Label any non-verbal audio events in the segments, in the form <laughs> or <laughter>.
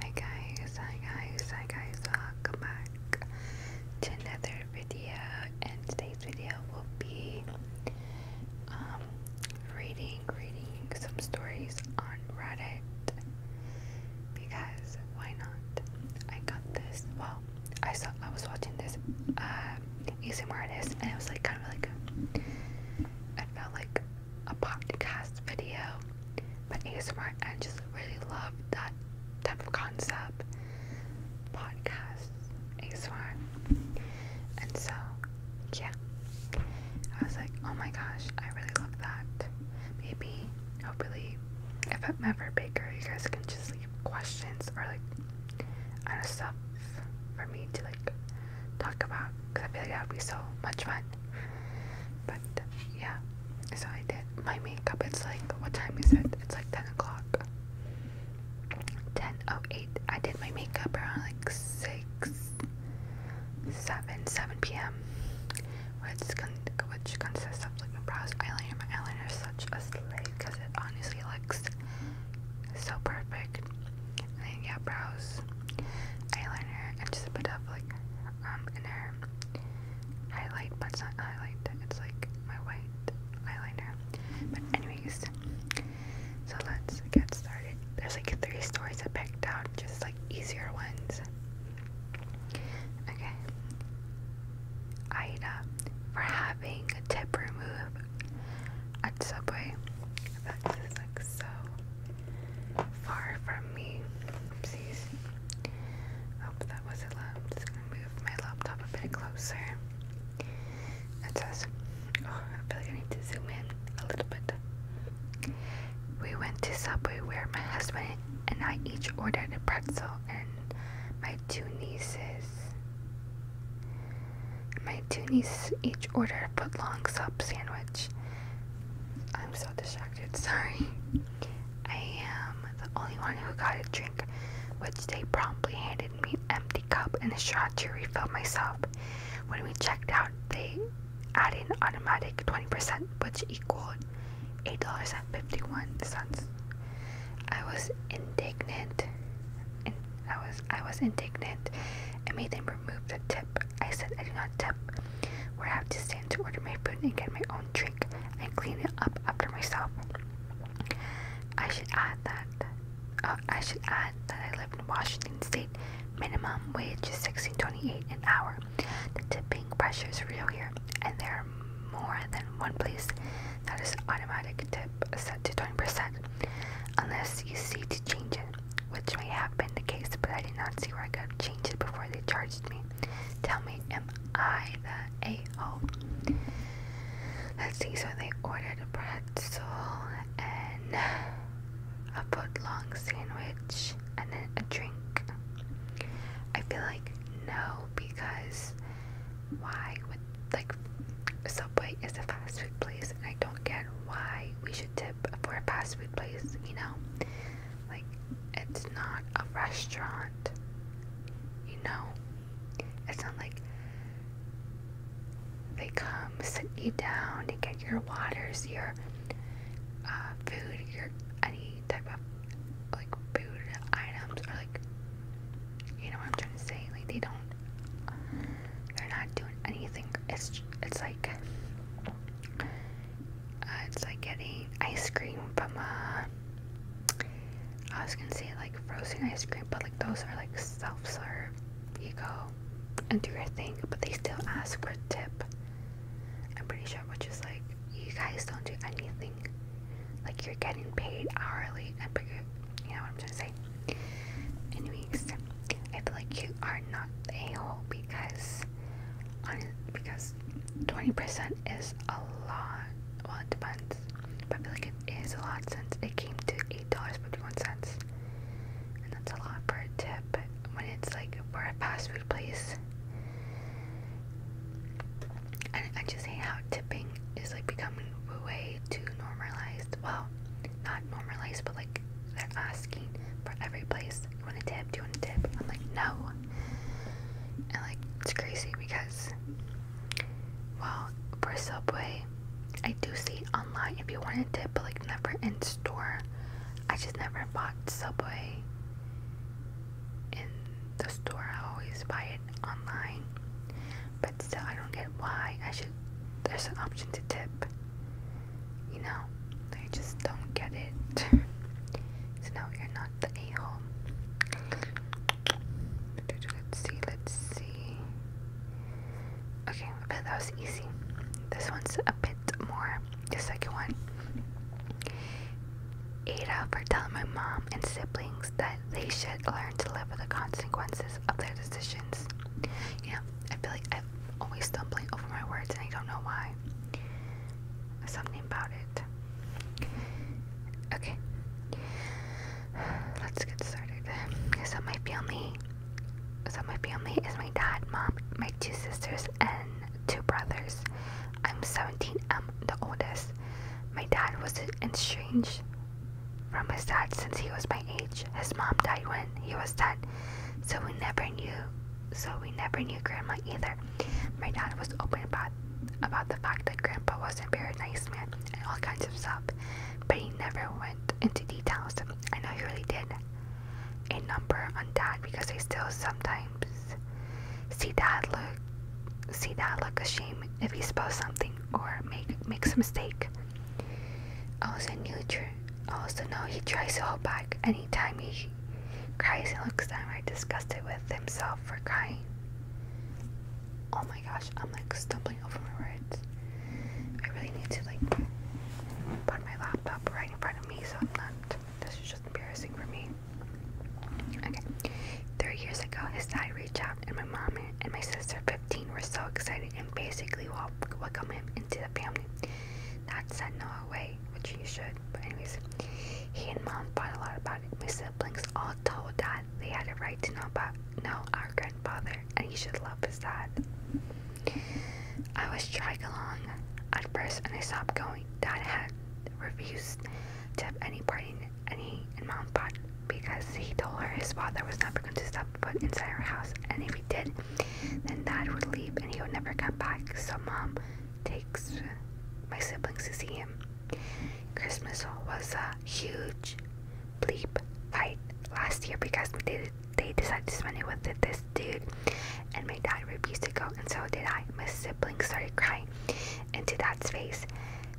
Hi guys, hi guys, hi guys, welcome back to another video and today's video will be um, reading, reading some stories on Reddit because why not? I got this, well, I saw, I was watching this uh, ASMR artist and it was like kind of like, a, it felt like a podcast video, but ASMR, I just really love that type of concept, podcast, ASMR, and so, yeah, I was like, oh my gosh, I really love that, maybe, hopefully, if I'm ever Baker, you guys can just leave questions or like, I don't know, stuff for me to like talk about because I feel like that would be so much fun. But yeah, so I did my makeup. It's like, what time is it? It's like 10 o'clock. Oh, eight. I did my makeup around like 6, 7, 7 p.m. Which, con which consists of like my brows, eyeliner. My eyeliner is such a slave because it honestly looks so perfect. And yeah, brows, eyeliner, and just a bit like um, inner highlight, but it's not highlight, it's like my white eyeliner. But anyways, so let's get started. There's like three stories I picked out, just like easier ones. Okay. Ida for having a tip removed at Subway. That's like so far from me. Oopsies. Hope that wasn't loud. just gonna move my laptop a bit closer. It says, oh, I feel like I need to zoom in a little bit. We went to Subway where my husband and I each ordered a pretzel and my two nieces. My two nieces each ordered a put long sub sandwich. I'm so distracted sorry. I am the only one who got a drink, which they promptly handed me an empty cup and a shot to refill myself. When we checked out, they added an automatic 20%, which equaled $8.51. I was indignant. And I was I was indignant and made them remove the tip I said I do not tip, where I have to stand to order my food and get my own drink and clean it up after myself. I should add that. Uh, I should add that I live in Washington State. Minimum wage is sixteen twenty-eight an hour. The tipping pressure is real here, and there are more than one place that is automatic tip set to twenty percent, unless you see to change it which may have been the case, but I did not see where I could change it before they charged me. Tell me, am I the a-hole? Let's see, so they ordered a pretzel and a footlong sandwich and then a drink. I feel like no, because why would, like, Subway is a fast food place, and I don't get why we should tip for a fast food place, you know? Like, it's not a restaurant, you know? It's not like they come sit you down and get your waters, your uh, food, your any type of like food items, or like, you know what I'm trying to say? Like, they don't they're not doing anything. It's it's like uh, it's like getting ice cream from a. Uh, I was gonna say like frozen ice cream, but like those are like self serve. You go and do your thing, but they still ask for a tip. I'm pretty sure, which is like, you guys don't do anything. Like you're getting paid hourly, i and but you know what I'm trying to say. Anyways, I feel like you are not a hole because because 20% is a lot. Well, it depends, but I feel like it is a lot since it came to $8.51, and that's a lot for a tip when it's like for a fast food place. And I just hate how tipping is like becoming a way to normalize, well, not normalize, but like they're asking for every place you want a tip? Do you want a tip? I'm like, no. And like, it's crazy because, well, for Subway, I do see online if you want a tip, but like never in store. I just never bought Subway in the store. I always buy it online. But still, I don't get why I should. There's an option to tip you know, they just don't get it. <laughs> so no, you're not the a Let's see, let's see. Okay, that was easy. This one's a bit more. The second one. Ada for telling my mom and siblings that they should learn to live with the consequences of their decisions. You I feel like I always stumbling over my words and I don't know why. Something about it. Okay. Let's get started. So my family so my family is my dad, mom, my two sisters and two brothers. I'm 17, I'm the oldest. My dad was estranged from his dad since he was my age. His mom died when he was 10, so we never knew so we never knew Grandma either. My dad was open about about the fact that Grandpa was not very nice man and all kinds of stuff, but he never went into details. I know he really did a number on Dad because I still sometimes see Dad look see Dad look ashamed if he spells something or make makes a mistake. Also, new also, oh, no, he tries to hold back anytime he cries he looks downright disgusted with himself for crying. Oh my gosh, I'm like stumbling over my words. I really need to like put my laptop right in front of me so I'm not. This is just embarrassing for me. Okay. Three years ago, his dad reached out, and my mom and my sister, 15, were so excited and basically welcomed him into the family. Not said way, which you should, but anyways. He and mom fought a lot about it. My siblings all told dad they had a right to know about know our grandfather and he should love his dad. I was dragged along at first and I stopped going. Dad had refused to have any part in and mom fought because he told her his father was never going to step foot inside our house and if he did, then dad would leave and he would never come back, so mom takes my siblings to see him. Christmas was a huge bleep fight last year because they, decided to spend it with this dude and my dad refused to go and so did I. My siblings started crying into dad's face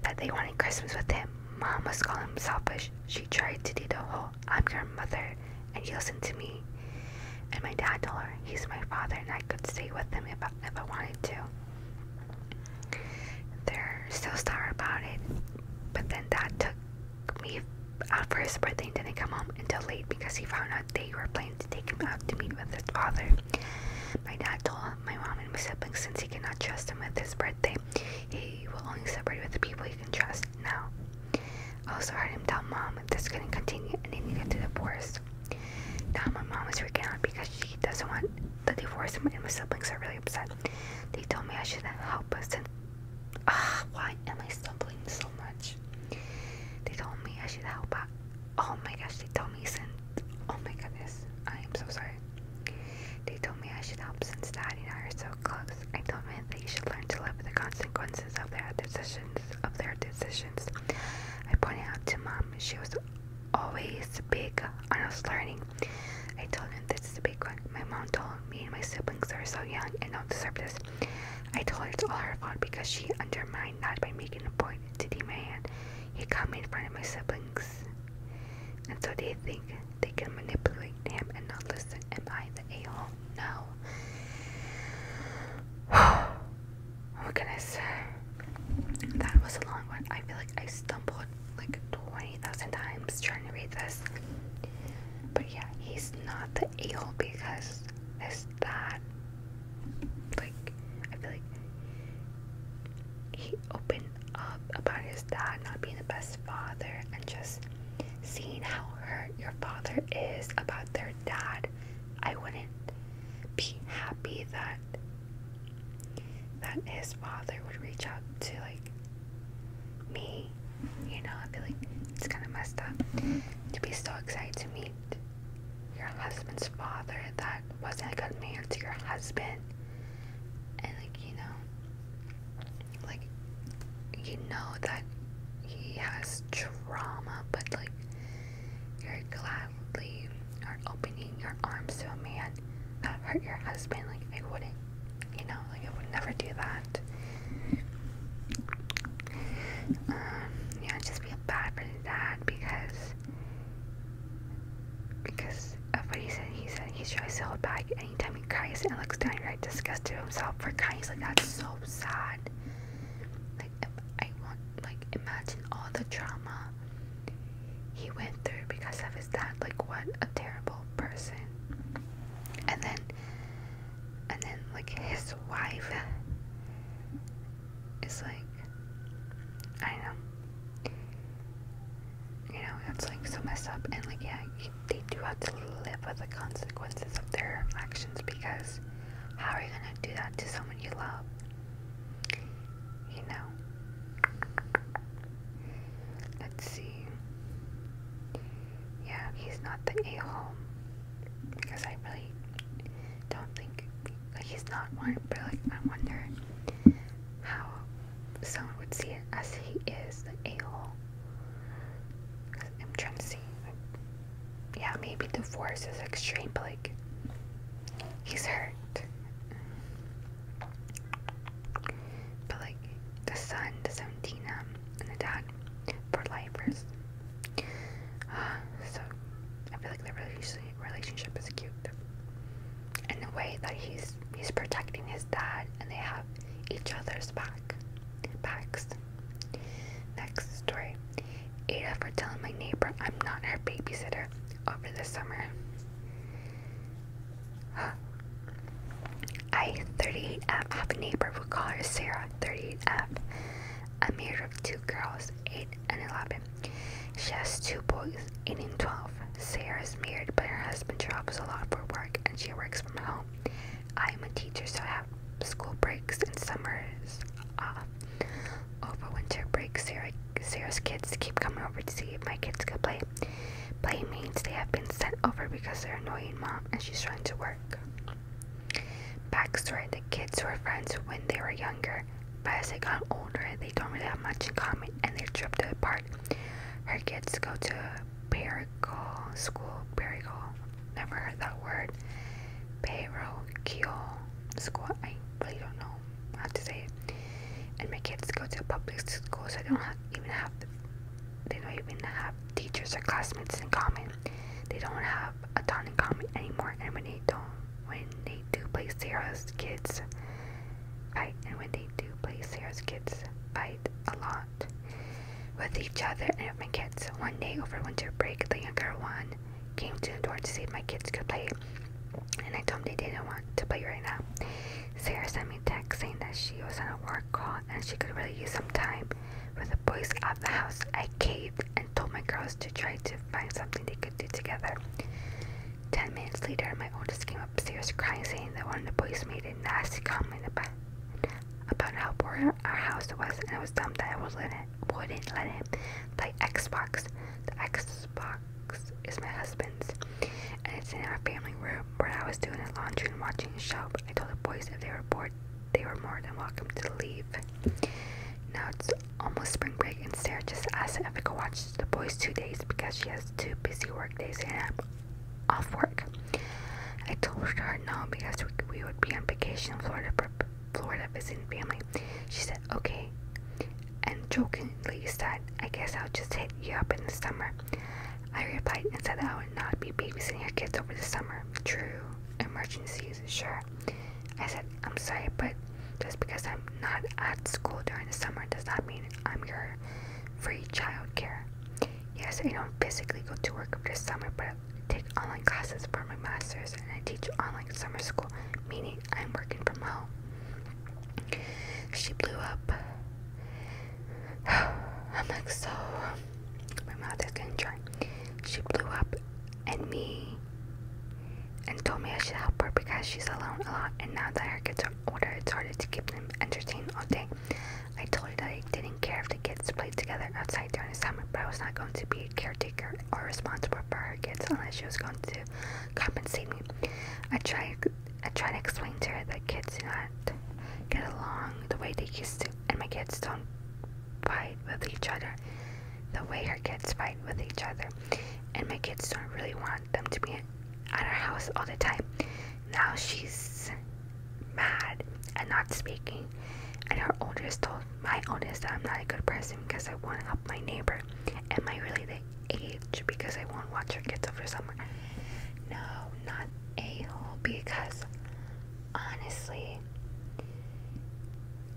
that they wanted Christmas with him. Mom was calling him selfish. She tried to do the whole I'm your mother and he listened to me. And my dad told her he's my father and I could stay with him if I, wanted to. They're still sour about it, but then dad took me out for his birthday and didn't come home until late because he found out they were planning to take him out to meet with his father. My dad told my mom and my siblings since he cannot trust him with his birthday, he will only celebrate with the people he can trust now. I oh, also heard him tell mom if this couldn't continue and they needed to do the divorce. Now my mom is freaking out because she doesn't want the divorce and my siblings are really upset. They told me I should help us and ah, uh, why am I stumbling so much? They told me I should help out. Oh my gosh, they told me since oh my goodness, I am so sorry. They told me I should help since daddy and I are so close. I told men they should learn to live with the consequences of their decisions. Of their decisions, I pointed out to mom. She was always big on us learning. I told him this is a big one. My mom told me and my siblings are so young and don't deserve this. I told her it's all her fault because she undermined that by making a point to demand he come in front of my siblings. And so they think they can manipulate him and not listen. Am I the a-hole? No. <sighs> what can I say? That was a long one. I feel like I stumbled like 20,000 times trying to read this. But yeah, he's not the a because it's that. Like, I feel like he opened up about his dad not being the best father and just seeing how your father is about their dad, I wouldn't be happy that that his father would reach out to like me. You know, i feel like, it's kind of messed up to be so excited to meet your husband's father that wasn't a good man to your husband, and like you know, like you know that he has trauma, but like you're gladly are opening your arms to a man that hurt your husband. Like I wouldn't, you know, like I would never do that. Um, yeah, just feel bad for that because because of what he said. He said he tries to hold back anytime mean, and Alex downright disgusted himself for Kai's like that's so sad. Like I want like imagine all the trauma he went through because of his dad. Like what a terrible person. And then and then like his wife is like I know. You know, that's like so messed up and like yeah, they do have to live with the consequences of their actions because how are you going to do that to someone you love? You know? Let's see. Yeah, he's not the a hole. Because I really don't think. Like, he's not one, but like, I wonder how someone would see it as he is the a hole. I'm trying to see. Yeah, maybe divorce is extreme, but like, he's hurt. But like, the son, the 17, um, and the dad for life is. <sighs> so, I feel like the relationship is cute. And the way that he's he's protecting his dad, and they have each other's back, backs. Next story. Ada for telling my neighbor I'm not her babysitter over the summer. Huh. <gasps> I, 38F, have a neighbor, we'll call her Sarah, 38F. I'm married with two girls, 8 and 11. She has two boys, 8 and 12. Sarah is married, but her husband travels a lot for work and she works from home. I am a teacher, so I have school breaks and summers off. Uh, over winter break, Sarah, Sarah's kids keep coming over to see if my kids can play. Playmates, they have been sent over because they're annoying mom and she's trying to work. Backstory the kids were friends when they were younger, but as they got older, they don't really have much in common and they're drift apart. Her kids go to Perical School. Perical. Never heard that word. Parochial School. I really don't know how to say it. And my kids go to a public school, so they don't have, even have. The, they don't even have teachers or classmates in common. They don't have a ton in common anymore. And when they don't, when they do play Sarah's kids fight, and when they do play Sarah's kids fight a lot, out with each other and with my kids. One day over winter break, the younger one came to the door to see if my kids could play, and I told them they didn't want to play right now. Sarah sent me a text saying that she was on a work call and she could really use some time with the boys out of the house. I caved and told my girls to try to find something they could do together. Ten minutes later, my oldest came upstairs crying, saying that one of the boys made a nasty comment about about how poor our house was, and it was dumb that I would let it, wouldn't let him play Xbox. The Xbox is my husband's, and it's in our family room. When I was doing the laundry and watching a show, I told the boys if they were bored, they were more than welcome to leave. Now it's almost spring break, and Sarah just asked if I could watch the boys two days because she has two busy work days, and I'm off work. I told her no because we, would be on vacation in Florida, for Florida visiting family. She said, okay, and jokingly said, I guess I'll just hit you up in the summer. I replied and said I would not be babysitting your kids over the summer. True, emergencies, sure. I said, I'm sorry, but just because I'm not at school during the summer does not mean I'm your free child care. Yes, I don't physically go to work this summer, but I take online classes for my master's and I teach online summer school, meaning I'm working from home. She blew up. <sighs> I'm like, so. My mouth is getting dry. She blew up and me and told me I should help her because she's alone a lot, and now that her kids are older, it's harder to keep them entertained all day. I told her that I didn't care if the kids played together outside during the summer, but I was not going to be a caretaker or responsible for her kids unless she was going to compensate me. I tried, I tried to explain to her that kids do not get along the way they used to, and my kids don't fight with each other the way her kids fight with each other, and my kids don't really want them to be at our house all the time. Now she's mad and not speaking. And her oldest told my oldest that I'm not a good person because I want to help my neighbor. Am I really the age because I won't watch her kids over summer? No, not a hole because honestly,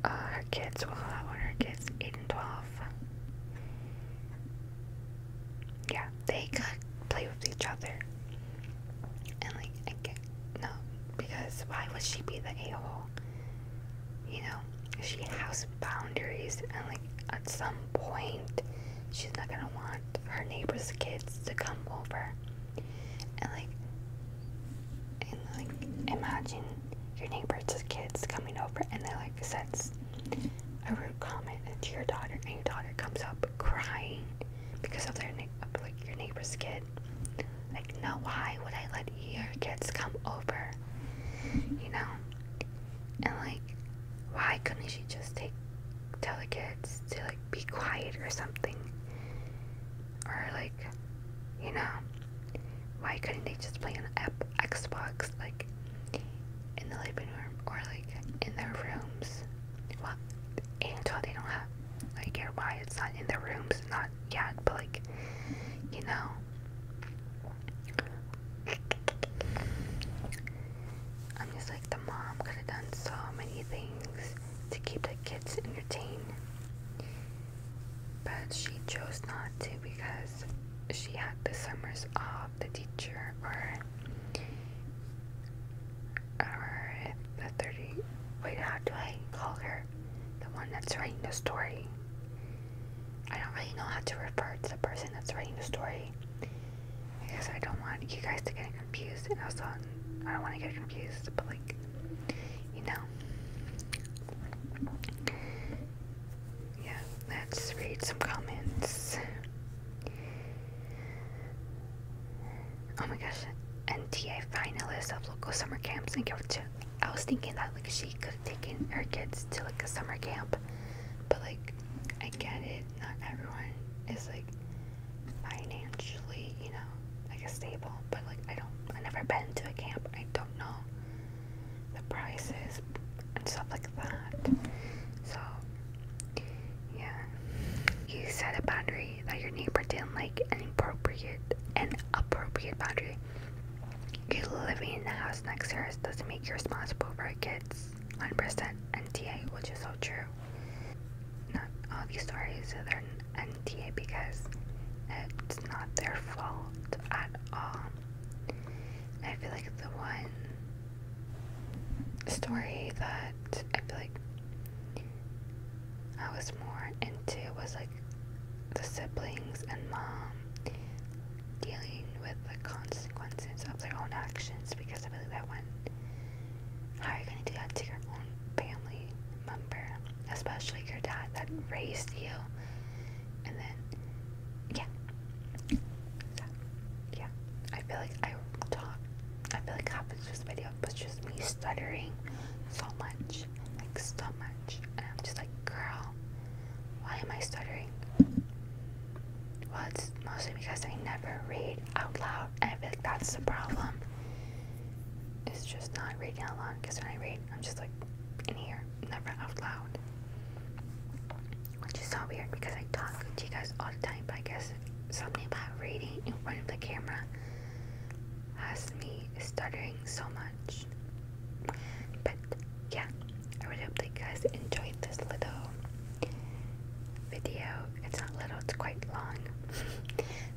uh, her kids, well, that one, her kids, 8 and 12. Yeah, they could play with each other. And like, no, because why would she be the a-hole? You know, she has boundaries, and like at some point, she's not gonna want her neighbor's kids to come over. And like, and like, imagine your neighbor's kids coming over, and they like says a rude comment to your daughter, and your daughter comes up crying because of their like your neighbor's kid. Like, no, why would I let your kids come over? You know, and like, why couldn't she just take tell the kids to like be quiet or something, or like, you know, why couldn't they just play on app Xbox like in the living room or like in their rooms well, until they don't have, like, why it's not in their rooms, not yet, but, like, you know. I'm just like, the mom could have done so many things to keep the kids entertained. But she chose not to because she had the summers off the teacher or or the 30. Wait, how do I call her? The one that's writing the story. I don't really know how to refer to the person that's writing the story. Because I don't want you guys to get confused, and also I don't want to get confused, but like, you know. Yeah, let's read some comments. Oh my gosh, NTA finalist of local summer camps in Georgia. I was thinking that like she could have taken her kids to like a summer camp, but like I get it. Not everyone is like financially, you know, like a stable. But like I don't, I never been to a camp. I don't know the prices and stuff like that. So yeah. You set a boundary that your neighbor didn't like an appropriate an appropriate boundary. You living in the house next to us doesn't make you responsible for our kids. 100% NTA, which is so true. Not all these stories are NTA because it's not their fault at all. I feel like the one story that I feel like I was more into was like the siblings and mom dealing with the consequences of their own actions because I feel like that one how are you gonna do that to your own family member? Especially your dad that raised you and then yeah. yeah. I feel like I talk. I feel like it happens this video, but just me stuttering so much, like so much, and I'm just like, girl, why am I stuttering? Well, it's mostly because I never read out loud, I feel like that's the problem. It's just not reading out loud, because when I read, I'm just like in here, never out loud. Which is so weird because I talk to you guys all the time, but I guess something about reading in front of the camera has me stuttering so much. But yeah, I really hope that you guys enjoyed this little video. It's not little, it's quite long. <laughs>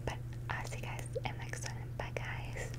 but I'll see you guys in the next one. Bye guys.